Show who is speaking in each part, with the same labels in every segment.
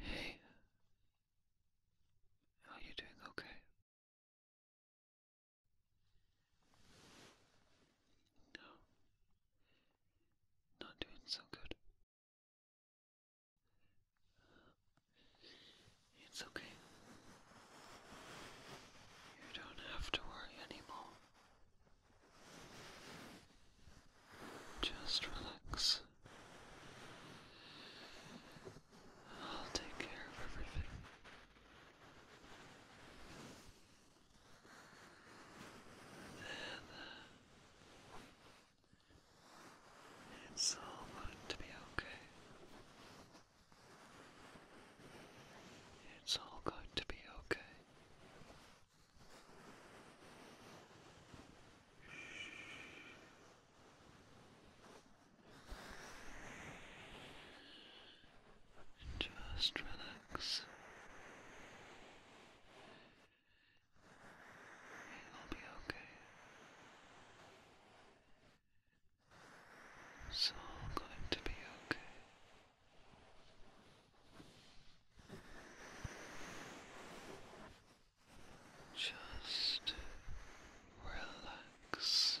Speaker 1: Hey, are you doing okay? No, not doing so good. It's okay. You don't have to worry anymore. Just relax. I'll take care of everything. There, uh, it's all going to be okay. It's all going to be okay. Just relax. It'll be okay. It's all going to be okay. Just relax.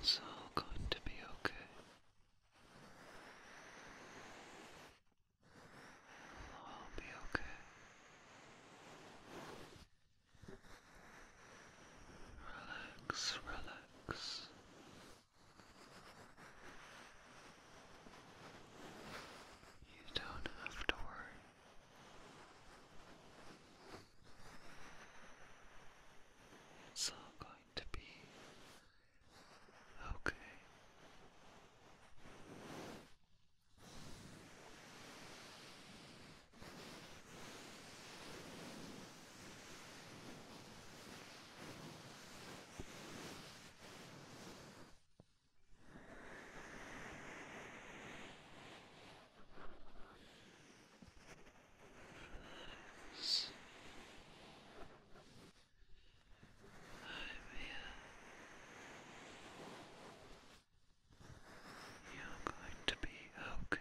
Speaker 1: It's all going to be okay. It'll be okay. Relax, relax. You don't have to worry. It's all going to be okay. You're going to be okay.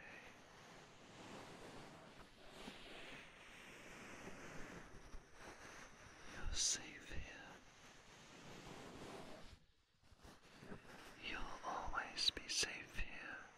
Speaker 1: You're safe here. You'll always be safe here.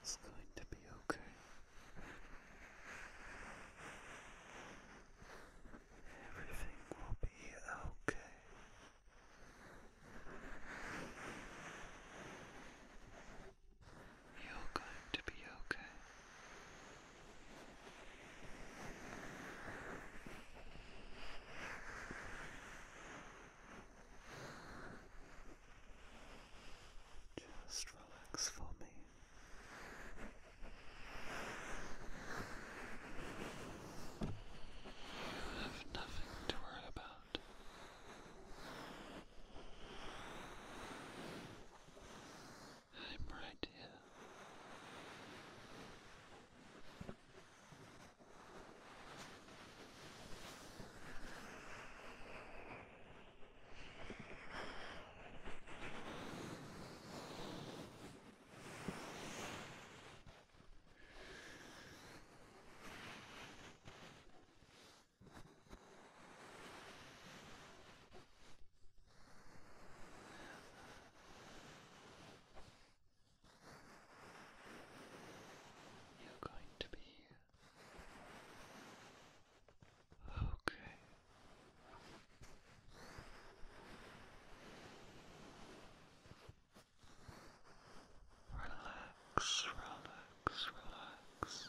Speaker 1: It's going to be okay. Everything will be okay. You're going to be okay. Just relax for me. You have nothing to worry about. I'm right here. You're going to be Okay. Relax, relax, relax.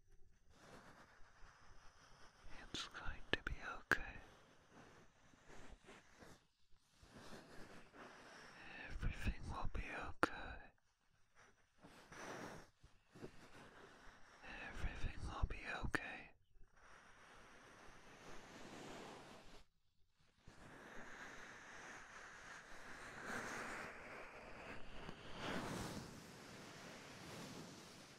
Speaker 1: It's going to be okay. Everything will be okay. Everything will be okay. It'll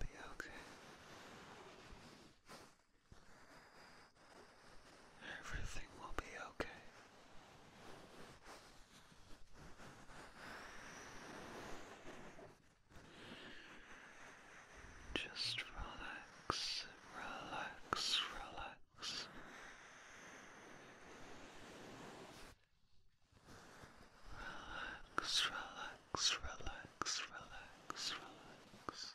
Speaker 1: be okay. Everything will be okay. Just relax, relax, relax. Relax, relax, relax, relax, relax.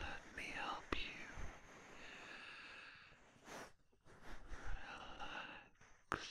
Speaker 1: Let me help you relax.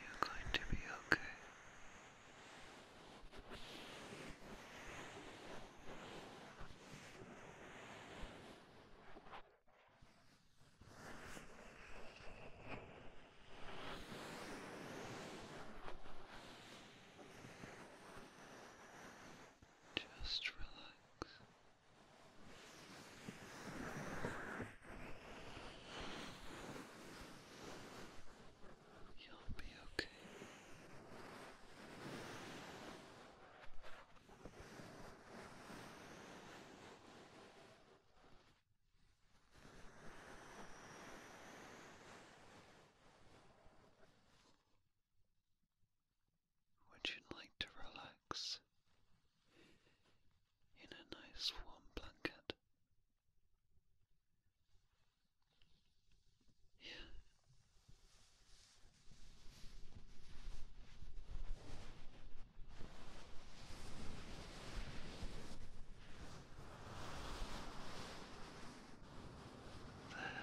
Speaker 1: You're going to be okay. Just relax. You'll be okay. Would you like to relax? in a nice warm blanket. Yeah. There.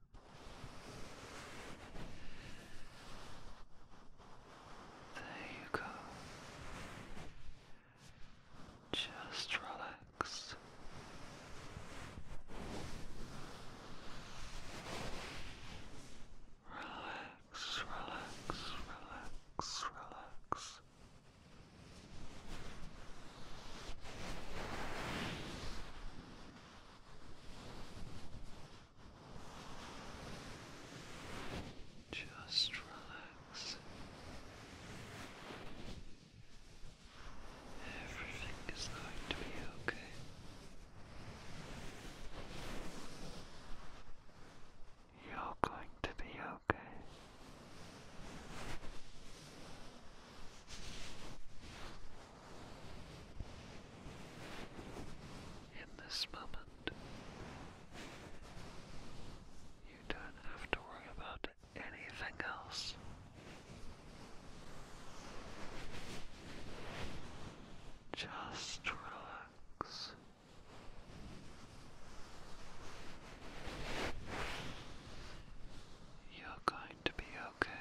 Speaker 1: There you go. Just relax. Relax, relax, relax, relax. Just relax. Everything is going to be okay. You're going to be okay. In this moment, you don't have to worry about anything else. Just relax. You're going to be okay.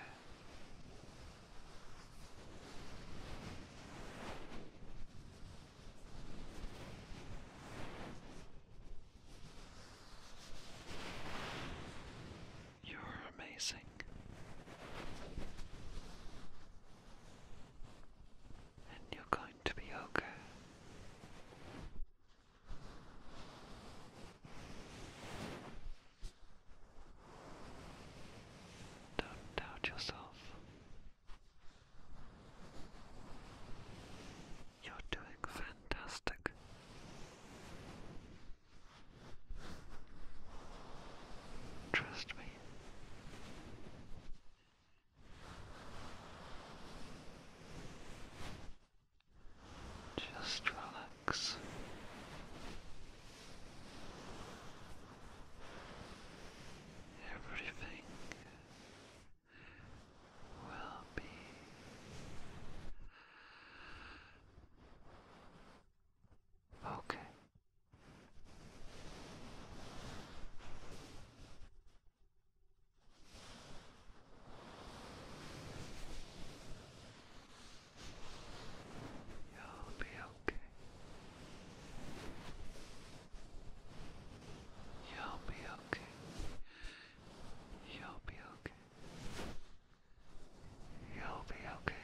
Speaker 1: You're amazing. And you're going to be okay. Don't doubt yourself. You're doing fantastic. Trust me. Just relax relax. Everything will be okay. You'll be okay. You'll be okay. You'll be okay. You'll be okay. You'll be okay.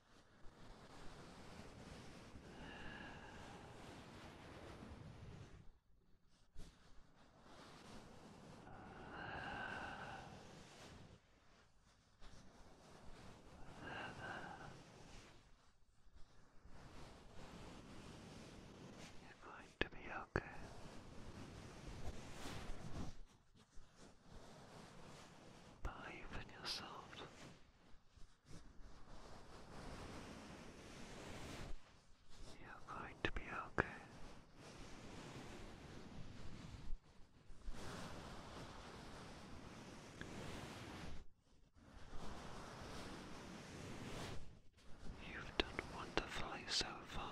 Speaker 1: You're going to be okay. Believe in yourself. You're going to be okay. You've done wonderfully so far.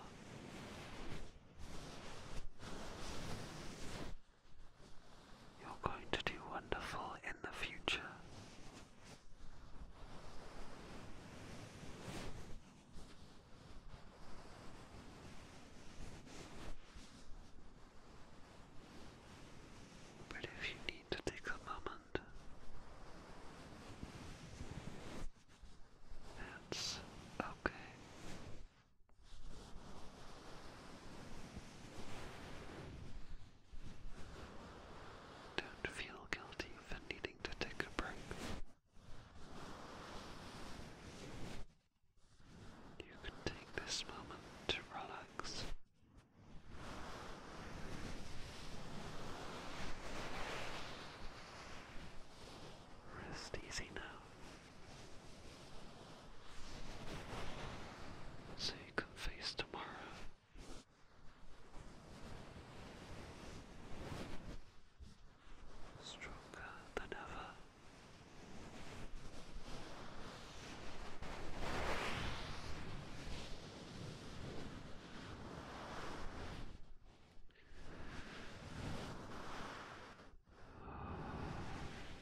Speaker 1: You're going to do wonderful in the future. But if you need to take a moment, that's okay. Don't feel guilty for needing to take a break. You can take this moment to relax. Rest easy now. So you can face tomorrow. Stronger than ever.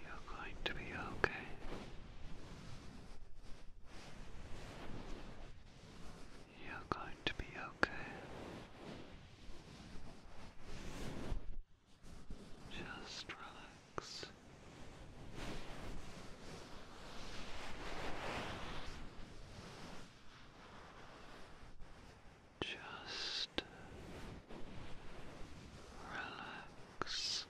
Speaker 1: You're going to be okay. You're going to be okay. Just relax. Just relax.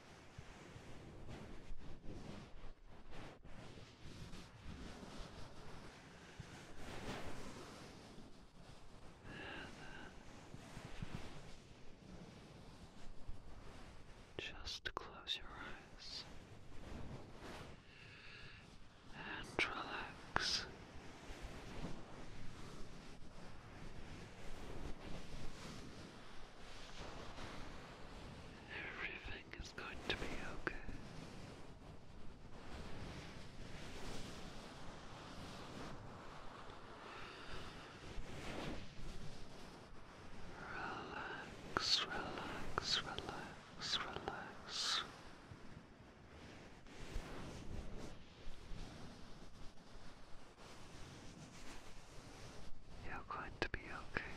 Speaker 1: Just close your eyes and relax. Everything is going to be okay. Relax, relax, relax relax, relax. You're going to be okay.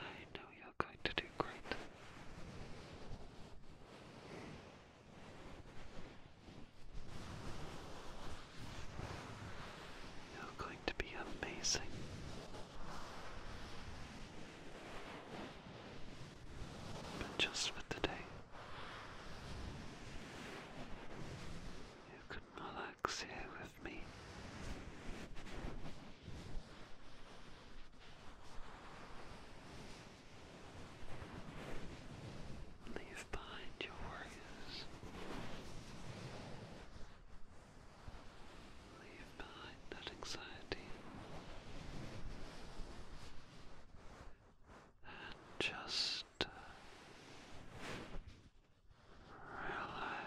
Speaker 1: I know you're going to do great. You're going to be amazing. But just for today, you can relax here with me. Leave behind your work Leave behind that anxiety and just uh, relax.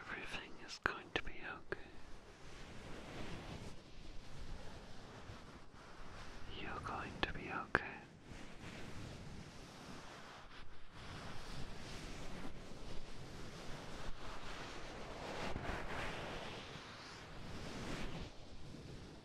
Speaker 1: Everything is going to be okay. You're going to be okay.